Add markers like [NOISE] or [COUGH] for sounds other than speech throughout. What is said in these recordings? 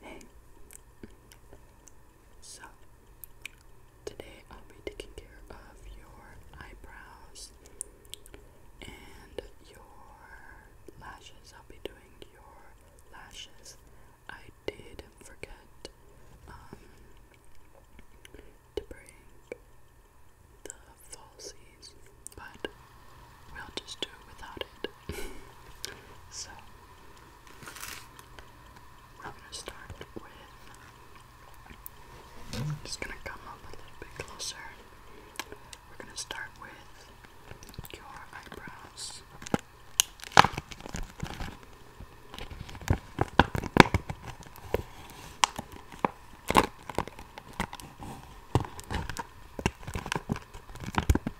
Hey, so today I'll be taking care of your eyebrows and your lashes. I'll be doing your lashes. I did forget um, to bring the falsies, but we'll just do without it so I'm gonna start with just gonna come up a little bit closer. We're gonna start with your eyebrows.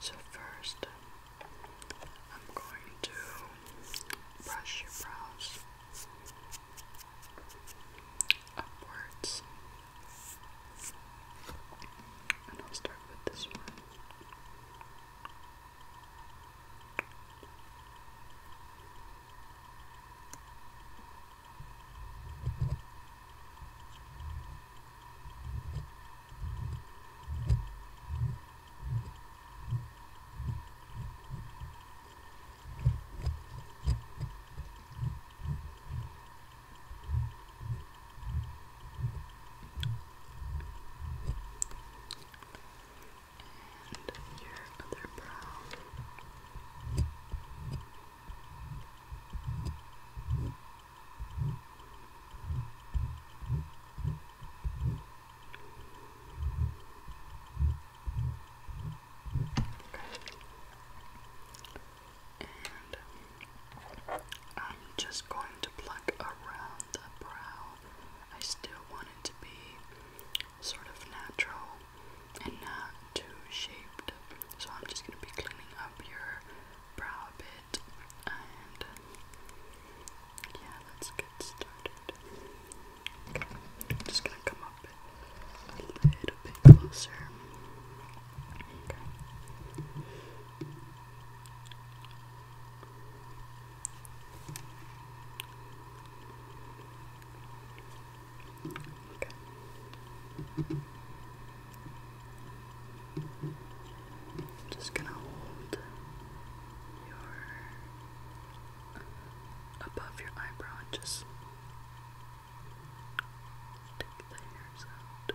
So, first, I'm going to brush your brows upwards, and I'll start with this one. And your other brow. Okay. I'm just going to pluck around the brow. I still want it to be sort of natural and not too shaped. So I'm just gonna be cleaning up your brow a bit and yeah, let's get started. Okay. just gonna come up a little bit closer. Okay. Okay. just gonna hold your above your eyebrow just take the hairs out.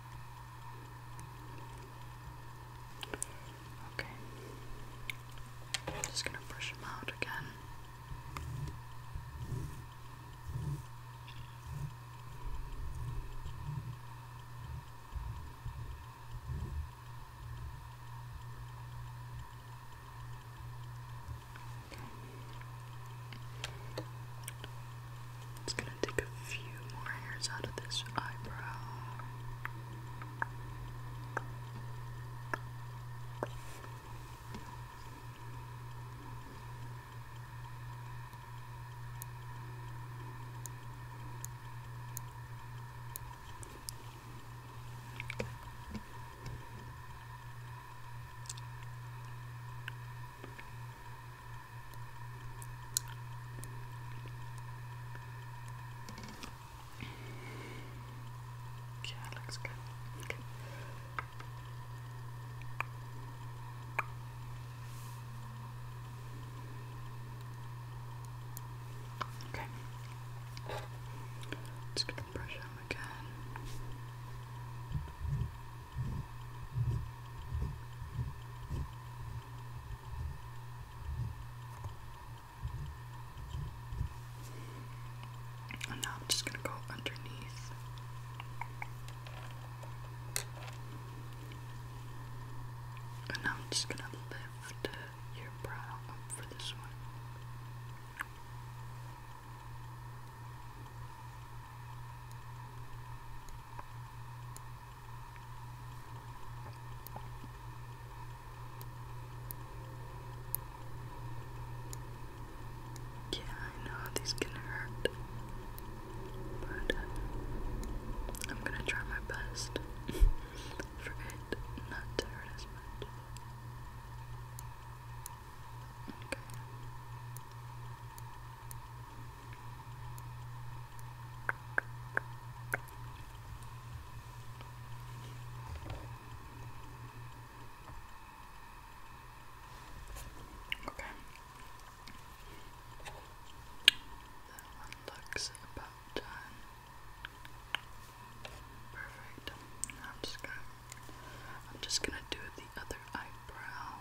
Okay. I'm just gonna brush them out again. It's gonna gonna take a few more hairs out of this eyebrow. Yeah, looks good. Okay. Okay. Just gonna brush them again. And now I'm just going to go underneath. And now I'm just going to lift your brow for this one. Yeah, I know how these can hurt, but uh, I'm gonna try my best [LAUGHS] for it not to hurt as much. Okay. Okay. looks about done. Perfect. I'm just gonna I'm just gonna do the other eyebrow.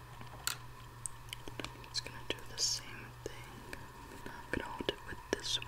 I'm gonna do the same thing. I'm gonna hold it with this one.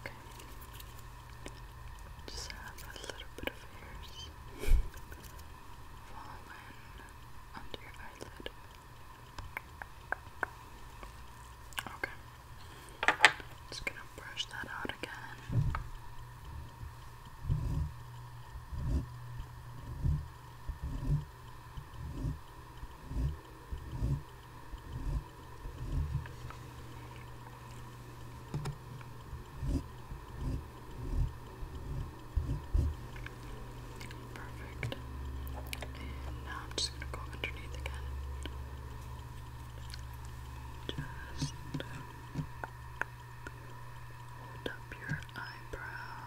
Okay. Just have a little bit of hairs. [LAUGHS] fallen under your eyelid. Okay. Just gonna brush that out again. Perfect. And now I'm just gonna go underneath again. Just hold up your eyebrow.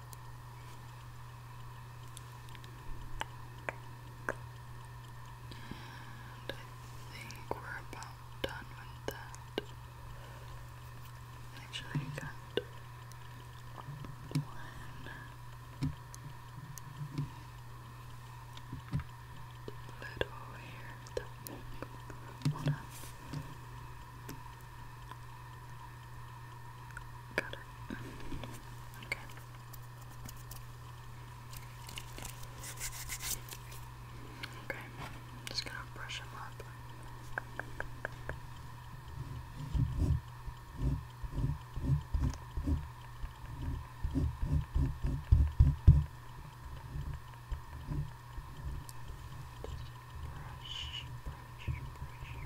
And I think we're about done with that. Actually, got one. Little hair. Hold on. Got it. Okay. Okay, I'm just gonna brush him up. Just brush, brush, brush.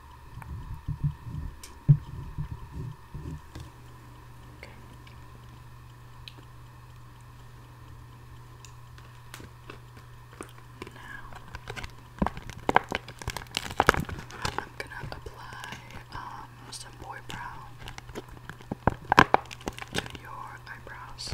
Okay. Now I'm gonna apply um, some boy brow to your eyebrows.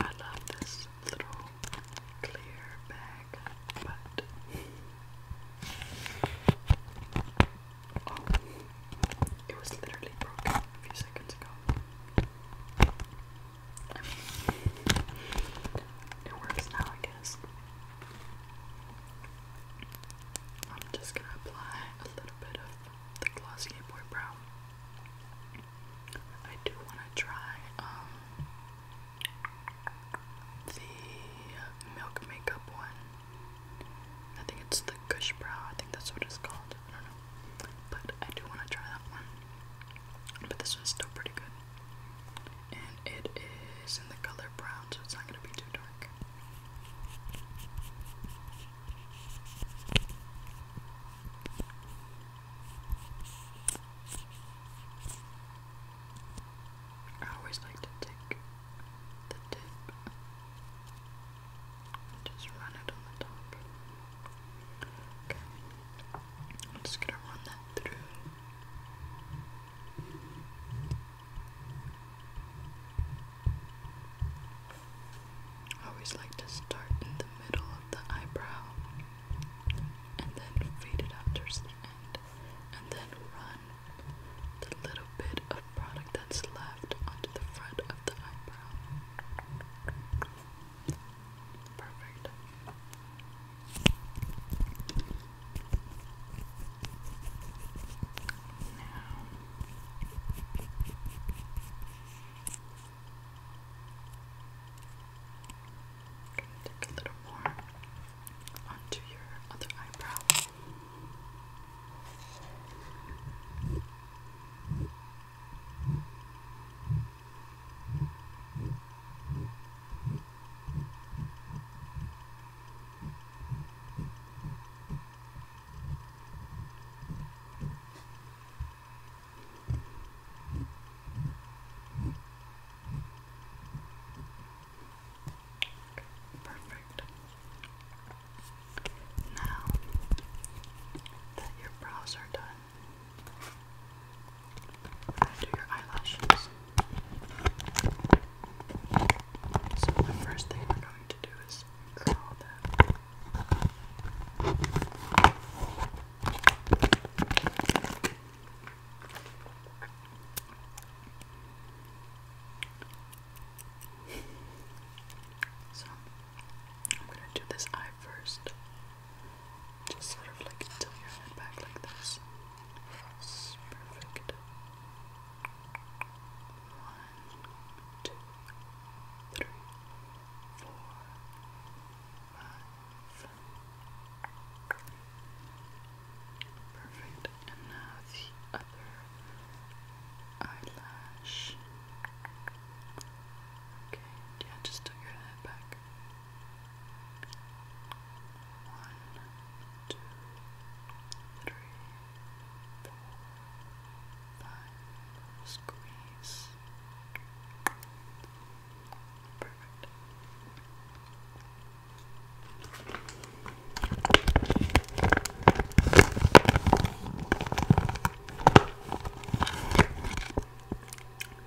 I love this little clear bag, but oh, it was literally broken a few seconds ago. it works now, I guess. I'm just gonna apply a little bit of the Glossier Boy Brow. I do want to try um, the Milk Makeup one. I think it's the Gush Brow. I think that's what it's called. I don't know. But I do want to try that one. But this one's still pretty good. And it is in the color brown, so it's not going to be too dark. I always like to take the tip just run it on the top. Okay, I'm just gonna run that through I always like to start in the middle of the eyebrow and then fade it out towards the end and then run the little bit of product that's left onto the front of the eyebrow. Perfect. Now. i take a little more onto your other eyebrow. Perfect. Now that your brows are done, under your eyelashes. So the first thing we're going to do is curl them. so I'm gonna do this eye first. Just sort of like tilt your head back like this. perfect. One, two, three, four, five. Perfect. And now the other eyelash. Okay, yeah, just tilt your head back. One, two, three, four, five, squeeze. Perfect.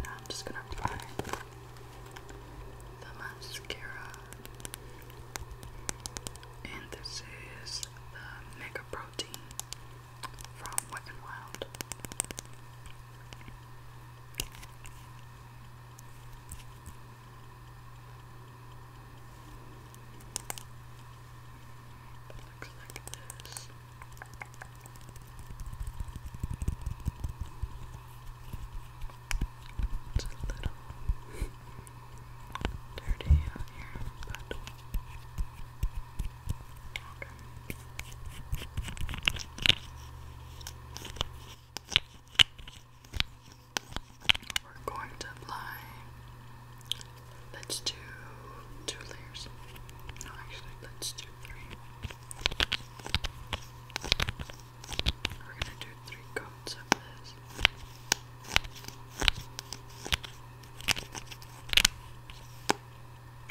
Now I'm just going to apply the mascara. And this is the Mega Protein from Wet n Wild. looks like this. It's a little dirty here, but okay. We're going to apply. Let's do two layers. No, actually, let's do three. We're gonna do three coats of this.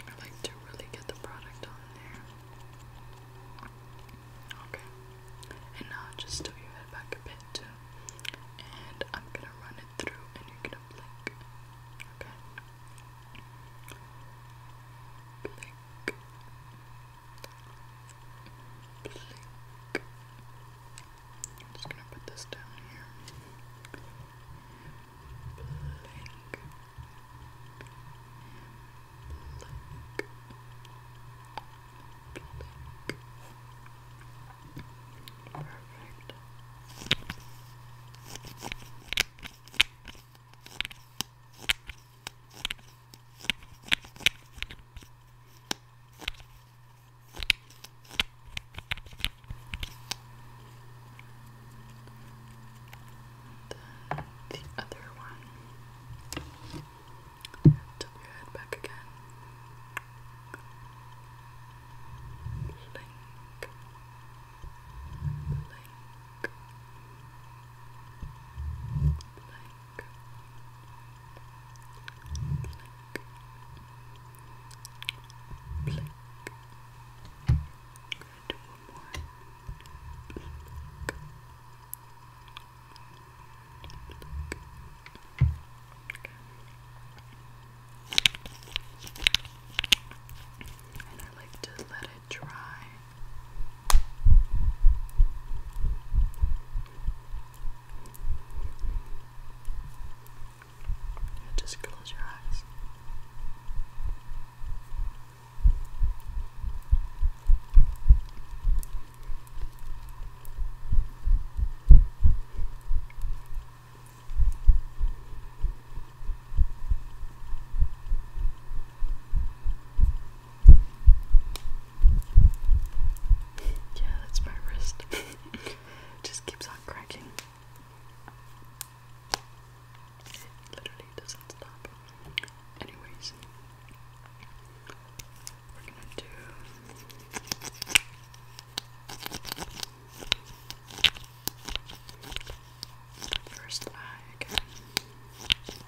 I like to really get the product on there. Okay. And now just still your head back a bit too. And I'm gonna run it through and you're gonna blink. Okay. Blink. Blink. just gonna put this down here. Blink. Blink. Perfect. Then the other one. Tilt your head back again. Blink blank, blank, blank, blank. Good, one more. Blank. And I like to let it dry now just close your eyes. Now yeah, that's my wrist. [LAUGHS] Just keeps on cracking. It literally doesn't stop. Anyways, we're gonna do. First eye again.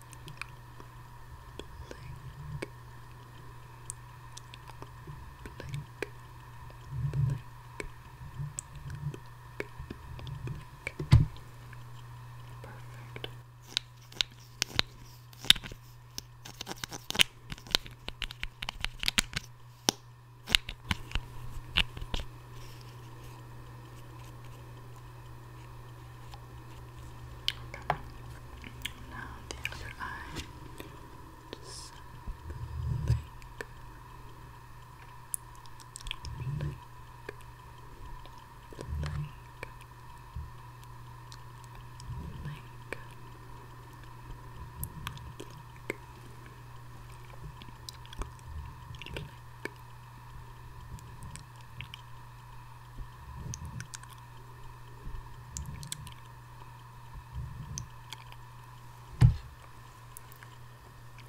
blink, blink, blink. Perfect. Perfect. Okay. Now the other eye. Just blink. Blink. Blink. Blink. Blink. Blink.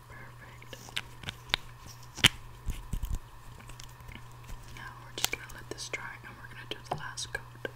Perfect. Now we're just going to let this dry and we're going to do the last coat. Okay.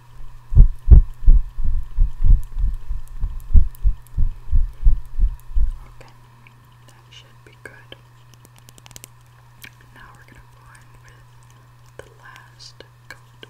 Okay, that should be good. Now we're going to go in with the last coat.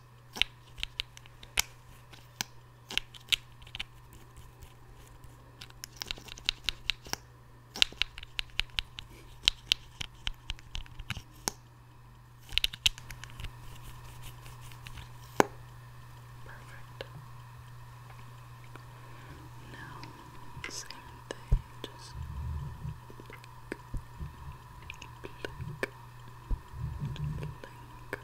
Perfect. Now, same thing, just blink, blink, blink.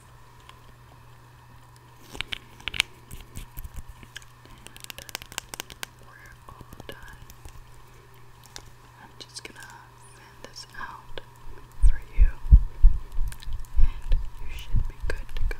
And uh, we're all done. I'm just gonna send this out for you, and you should be good to go.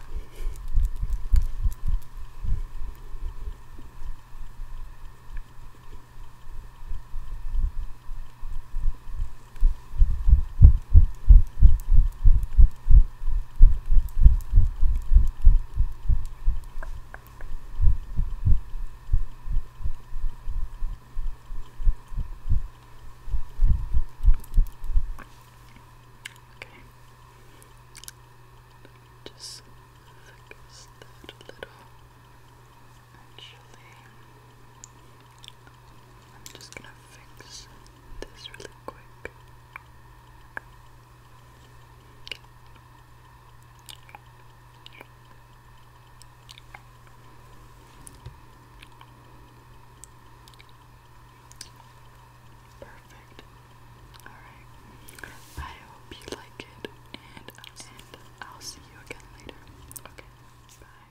Okay. Just focus that a little. Actually, I'm just gonna fix this really quick. Perfect. Alright. I hope you like it and, I'll see you again later. Okay. Bye.